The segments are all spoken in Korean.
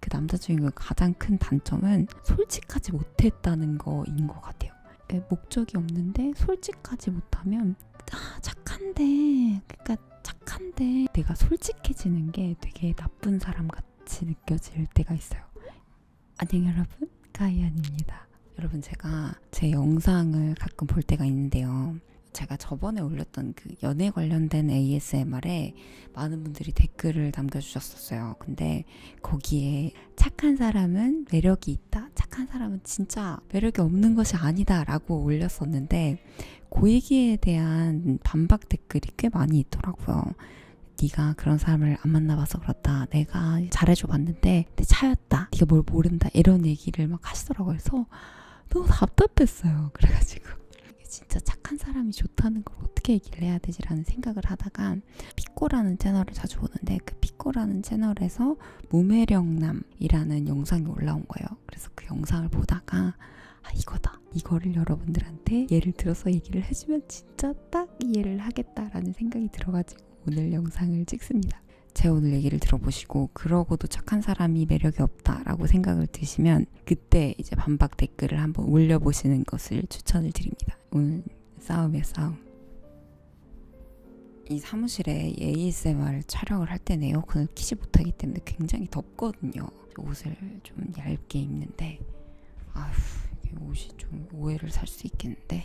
그 남자 주인공 가장 큰 단점은 솔직하지 못했다는 거인 것 같아요. 예, 목적이 없는데 솔직하지 못하면 아 착한데 그러니까 착한데 내가 솔직해지는 게 되게 나쁜 사람 같이 느껴질 때가 있어요. 안녕 여러분 가이안입니다. 여러분 제가 제 영상을 가끔 볼 때가 있는데요. 제가 저번에 올렸던 그 연애 관련된 ASMR에 이제 많은 분들이 댓글을 남겨주셨었어요. 근데 거기에 착한 사람은 매력이 있다. 착한 사람은 진짜 매력이 없는 것이 아니다. 라고 올렸었는데, 그 얘기에 대한 반박 댓글이 꽤 많이 있더라고요. 네가 그런 사람을 안 만나봐서 그렇다. 내가 잘해줘 봤는데 내 차였다. 네가 뭘 모른다. 이런 얘기를 막 하시더라고요. 그래서 너무 답답했어요. 그래가지고 진짜 착한 사람이 좋다는 걸 어떻게 얘기를 해야 되지라는 생각을 하다가 피꼬라는 채널을 자주 보는데 그 피꼬라는 채널에서 무매력남이라는 영상이 올라온 거예요. 그래서 그 영상을 보다가 아 이거다 이거를 여러분들한테 예를 들어서 얘기를 해주면 진짜 딱 이해를 하겠다라는 생각이 들어가지고 오늘 영상을 찍습니다. 제 오늘 얘기를 들어보시고 그러고도 착한 사람이 매력이 없다라고 생각을 드시면 그때 이제 반박 댓글을 한번 올려보시는 것을 추천을 드립니다. 오늘 싸움이야 싸움. 이 사무실에 ASMR 촬영을 할 때는 에어컨을 키지 못하기 때문에 굉장히 덥거든요. 옷을 좀 얇게 입는데 아휴 이게 옷이 좀 오해를 살 수 있겠는데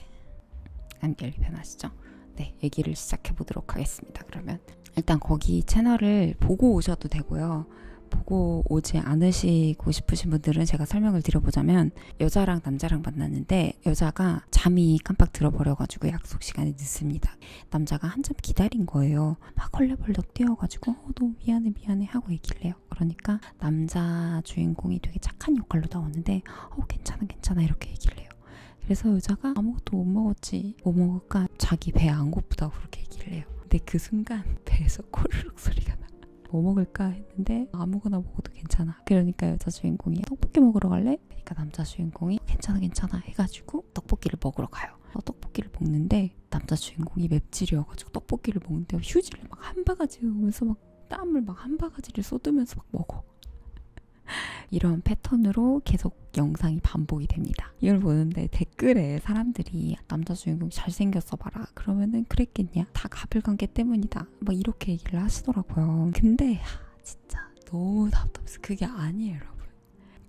안결리 편하시죠? 네 얘기를 시작해 보도록 하겠습니다. 그러면 분들은 일단 거기 채널을 보고 오셔도 되고요. 보고 오지 않으시고 싶으신 분들은 제가 설명을 드려보자면 여자랑 남자랑 만났는데 여자가 잠이 깜빡 들어버려가지고 약속 시간에 늦습니다. 남자가 한참 기다린 거예요. 막 헐레벌떡 뛰어가지고 어, 너무 미안해 미안해 하고 얘기를 해요. 그러니까 남자 주인공이 되게 착한 역할로 나오는데 어 괜찮아 괜찮아 이렇게 얘기를 해요. 그래서 여자가 아무것도 못 먹었지 뭐 먹을까 순간 아, 자기 배 안 고프다고 그렇게 얘기를 해요. 근데 그 순간 배에서 코르륵 소리가 나. 뭐 먹을까 했는데 아무거나 먹어도 괜찮아. 그러니까 여자 주인공이 떡볶이 먹으러 갈래? 그러니까 남자 주인공이 괜찮아 괜찮아 해가지고 떡볶이를 먹으러 가요. 어, 떡볶이를 먹는데 남자 주인공이 맵찔이어가지고 떡볶이를 먹는데 휴지를 막 한 바가지 오면서 막 땀을 막 한 바가지를 쏟으면서 막 먹어. 이런 패턴으로 계속 계속 영상이 반복이 됩니다. 이걸 보는데 댓글에 사람들이 남자 주인공 잘생겼어 봐라. 그러면은 그랬겠냐? 다 가불관계 때문이다. 막 뭐 이렇게 얘기를 하시더라고요. 근데 하, 진짜 너무 답답해서 그게 아니에요, 여러분.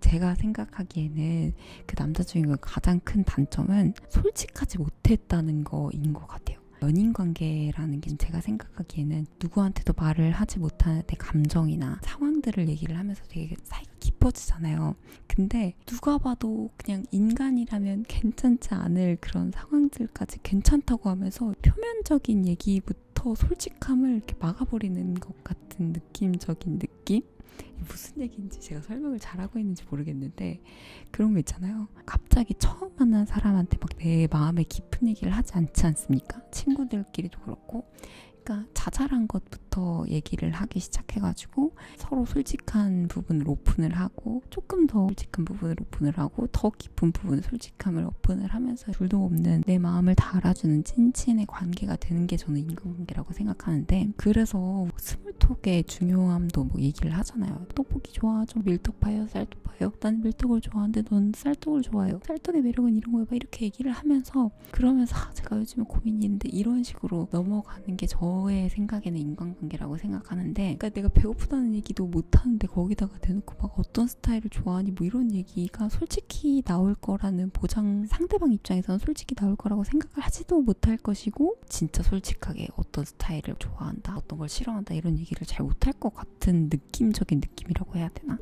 제가 생각하기에는 그 남자 주인공 가장 큰 단점은 솔직하지 못했다는 거인 것 같아요. 연인 관계라는 게 제가 생각하기에는 누구한테도 말을 하지 못하는 내 감정이나 상황들을 얘기를 하면서 하면서 되게 사이 깊어지잖아요. 근데 누가 봐도 그냥 인간이라면 괜찮지 않을 그런 상황들까지 괜찮다고 하면서 표면적인 얘기부터 솔직함을 이렇게 막아버리는 것 같은 느낌적인 느낌? 무슨 얘기인지 제가 설명을 잘하고 있는지 모르겠는데 그런 거 있잖아요. 갑자기 처음 만난 사람한테 막 내 마음의 깊은 얘기를 하지 않지 않습니까? 친구들끼리도 그렇고 그러니까 자잘한 것부터 얘기를 하기 시작해가지고 서로 솔직한 부분을 오픈을 하고 조금 더 솔직한 부분을 오픈을 하고 더 깊은 부분 솔직함을 오픈을 하면서 둘도 없는 내 마음을 다 알아주는 찐친의 관계가 되는 게 저는 인간관계라고 생각하는데 그래서 뭐 스물톡의 중요함도 뭐 얘기를 하잖아요. 떡볶이 좋아? 좀 밀떡 파요? 쌀떡 파요? 난 밀떡을 좋아하는데 넌 쌀떡을 좋아해요. 쌀떡의 매력은 이런 거야. 이렇게 이렇게 얘기를 하면서 그러면서 아, 제가 요즘에 고민이 있는데 이런 식으로 넘어가는 게 저의 생각에는 인간관계라고 생각하는데 그러니까 내가 배고프다는 얘기도 못하는데 거기다가 대놓고 막 어떤 스타일을 좋아하니 뭐 이런 얘기가 솔직히 나올 거라는 보장 상대방 입장에서는 솔직히 나올 거라고 생각을 하지도 못할 것이고 진짜 솔직하게 어떤 스타일을 좋아한다 어떤 걸 싫어한다 이런 얘기를 잘 못할 것 같아요 같은 느낌적인 느낌이라고 해야 되나?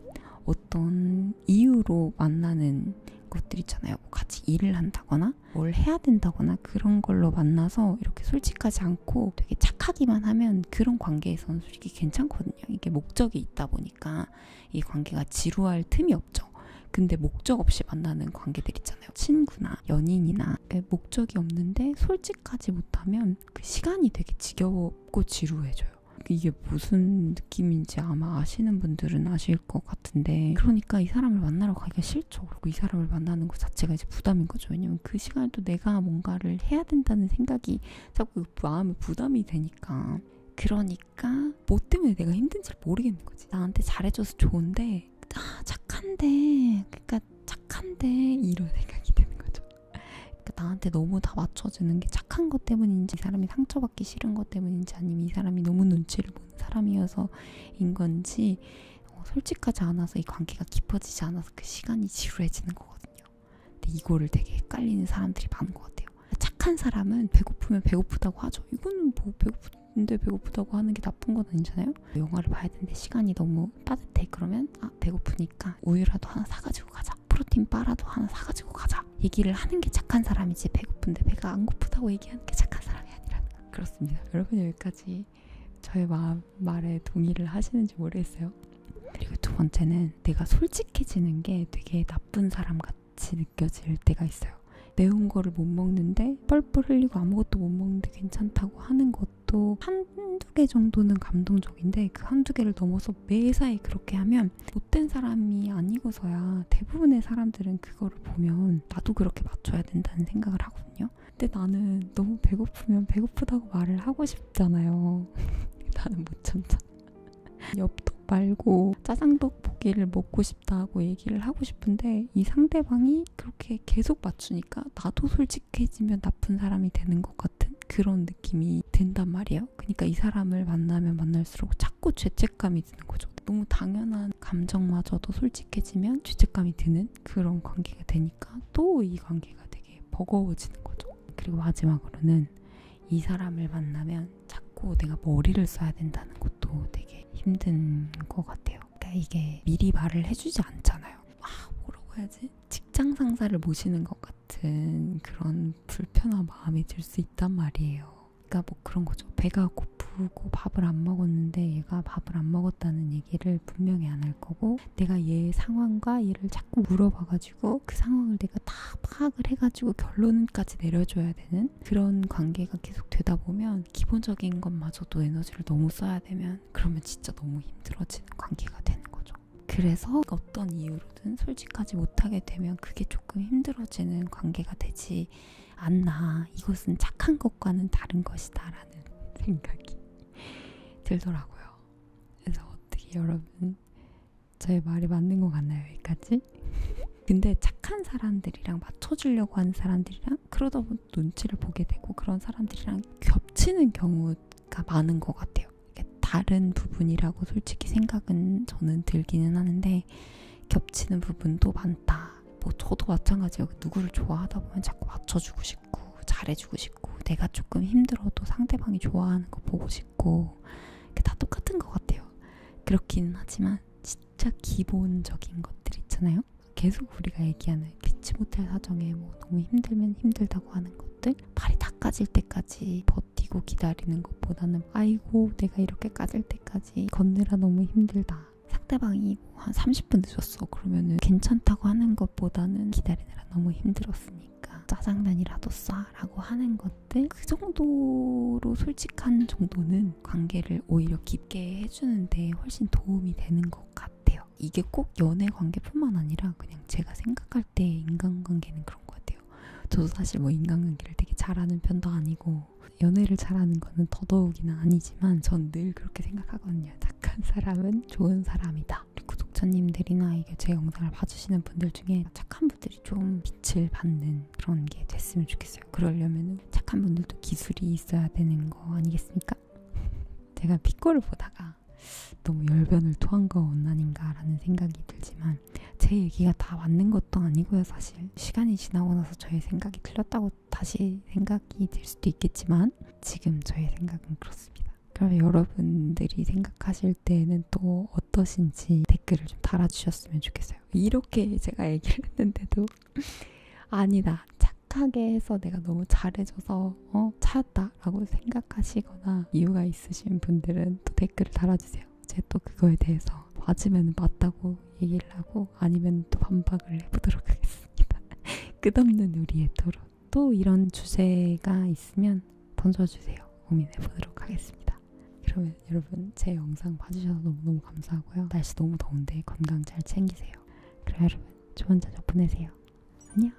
어떤 이유로 만나는 것들 있잖아요. 뭐 같이 일을 한다거나 뭘 해야 된다거나 그런 걸로 만나서 이렇게 솔직하지 않고 되게 착하기만 하면 그런 관계에서는 솔직히 괜찮거든요. 이게 목적이 있다 보니까 이 관계가 지루할 틈이 없죠. 근데 목적 없이 만나는 관계들 있잖아요. 친구나 연인이나 목적이 없는데 솔직하지 못하면 그 시간이 되게 지겹고 지루해져요. 그러니까 이게 무슨 느낌인지 아마 아시는 분들은 아실 것 같은데 그러니까 이 사람을 만나러 가기가 싫죠. 그리고 이 사람을 만나는 것 자체가 이제 부담인 거죠. 왜냐면 그 시간에 또 내가 뭔가를 해야 된다는 생각이 자꾸 마음에 부담이 되니까 그러니까 뭐 때문에 내가 힘든지 모르겠는 거지. 나한테 잘해줘서 좋은데 아 착한데 그러니까 착한데 이런 생각이 드는 거죠. 그러니까 나한테 너무 다 맞춰주는 게 착한 것 때문인지 이 사람이 상처받기 싫은 것 때문인지 아니면 이 사람이 너무 눈치를 보는 사람이어서인 건지 어, 솔직하지 않아서 이 관계가 깊어지지 않아서 그 시간이 지루해지는 거거든요. 근데 이거를 되게 헷갈리는 사람들이 많은 것 같아요. 착한 사람은 배고프면 배고프다고 하죠. 이거는 뭐 배고픈데 배고프다고 하는 게 나쁜 건 아니잖아요. 영화를 봐야 되는데 시간이 너무 빠듯해. 그러면 아 배고프니까 우유라도 하나 사가지고 가자. 프로틴 바라도 하나 사가지고 가자. 얘기를 하는 게 착한 사람이지 배고픈데 배가 안 고프다고 얘기하는 게 착한 사람이 아니라는 거. 그렇습니다. 여러분 여기까지 저의 마음, 말에 동의를 하시는지 모르겠어요. 그리고 두 번째는 내가 솔직해지는 게 되게 나쁜 사람 같이 느껴질 때가 있어요. 매운 거를 못 먹는데 뻘뻘 흘리고 아무것도 못 먹는데 괜찮다고 하는 것 것도 한두 개 정도는 감동적인데 그 한두 개를 넘어서 매사에 그렇게 하면 못된 사람이 아니고서야 대부분의 사람들은 그거를 보면 나도 그렇게 맞춰야 된다는 생각을 하거든요. 근데 나는 너무 배고프면 배고프다고 말을 하고 싶잖아요. 나는 못 참잖아. 엽떡 말고 짜장떡 고기를 먹고 싶다고 얘기를 하고 싶은데 이 상대방이 그렇게 계속 맞추니까 나도 솔직히 솔직해지면 나쁜 사람이 되는 것 같은 그런 느낌이 든단 말이에요. 그러니까 이 사람을 만나면 만날수록 자꾸 죄책감이 드는 거죠. 너무 당연한 감정마저도 솔직해지면 죄책감이 드는 그런 관계가 되니까 또 이 관계가 되게 버거워지는 거죠. 그리고 마지막으로는 이 사람을 만나면 자꾸 내가 머리를 써야 된다는 것도 되게 힘든 것 같아요. 그러니까 이게 미리 말을 해주지 않잖아요. 아, 뭐라고 해야지? 직장 상사를 모시는 것 같은 그런 불편한 마음이 들 수 있단 말이에요. 그러니까 뭐 그런 거죠. 배가 고프고 밥을 안 먹었는데 얘가 밥을 안 먹었다는 얘기를 분명히 안 할 거고 내가 얘 상황과 얘를 자꾸 물어봐가지고 그 상황을 내가 다 파악을 해가지고 결론까지 내려줘야 되는 그런 관계가 계속 되다 보면 기본적인 것마저도 에너지를 너무 써야 되면 하지만 그러면 진짜 너무 힘들어지는 관계가 되는 거죠. 그래서 어떤 이유로든 솔직하지 못하게 되면 그게 조금 힘들어지는 관계가 되지 않나. 이것은 착한 것과는 다른 것이다라는 생각이 들더라고요. 그래서 어떻게 여러분 저의 말이 맞는 것 같나요? 여기까지? 근데 착한 사람들이랑 맞춰주려고 하는 사람들이랑 사람들이랑 그러다 보면 눈치를 보게 되고 그런 사람들이랑 겹치는 경우가 많은 것 같아요. 다른 부분이라고 솔직히 생각은 저는 들기는 하는데 겹치는 부분도 많다. 뭐 저도 마찬가지예요. 누구를 좋아하다 보면 자꾸 맞춰주고 싶고 잘해주고 싶고 내가 조금 힘들어도 상대방이 좋아하는 거 보고 싶고 다 똑같은 것 같아요. 그렇기는 하지만 진짜 기본적인 것들 있잖아요. 있나요? 계속 우리가 얘기하는 비치 모텔 사정에 뭐 너무 힘들면 힘들다고 하는 것들 발이 다 까질 때까지 버티고 기다리는 것보다는 아이고 내가 이렇게 까질 때까지 걷느라 너무 힘들다 상대방이 뭐한 30분 늦었어 그러면은 괜찮다고 하는 것보다는 기다리느라 너무 힘들었으니까 짜장면이라도 싸라고 하는 것들 그 정도로 솔직한 정도는 관계를 오히려 깊게 해주는데 훨씬 도움이 되는 것 같아요 같아요. 이게 꼭 연애 관계뿐만 아니라 그냥 제가 생각할 때 인간관계는 그런 것 같아요. 저도 사실 뭐 인간관계를 되게 잘하는 편도 아니고 연애를 잘하는 거는 더더욱이나 아니지만 전 늘 그렇게 생각하거든요. 착한 사람은 좋은 사람이다. 구독자님들이나 이게 제 영상을 봐주시는 분들 중에 착한 분들이 좀 빛을 받는 그런 게 됐으면 좋겠어요. 그러려면 착한 분들도 기술이 있어야 되는 거 아니겠습니까? 제가 피코를 보다가 너무 열변을 토한 건 아닌가라는 생각이 들지만 제 얘기가 다 맞는 것도 아니고요 사실 시간이 지나고 나서 저의 생각이 틀렸다고 다시 생각이 들 수도 있겠지만 지금 저의 생각은 그렇습니다 그럼 여러분들이 생각하실 때는 또 어떠신지 댓글을 좀 달아주셨으면 좋겠어요 이렇게 제가 얘기를 했는데도 아니다 착 착하게 해서 내가 너무 잘해줘서 어 찾았다라고 생각하시거나 이유가 있으신 분들은 또 댓글을 달아주세요. 제 또 그거에 대해서 맞으면 맞다고 얘기를 하고 아니면 또 반박을 해보도록 하겠습니다. 끝없는 우리의 토론. 또 이런 주제가 있으면 던져주세요. 고민해보도록 하겠습니다. 그러면 여러분 제 영상 봐주셔서 너무너무 감사하고요. 날씨 너무 더운데 건강 잘 챙기세요. 그럼 여러분 좋은 저녁 보내세요. 안녕.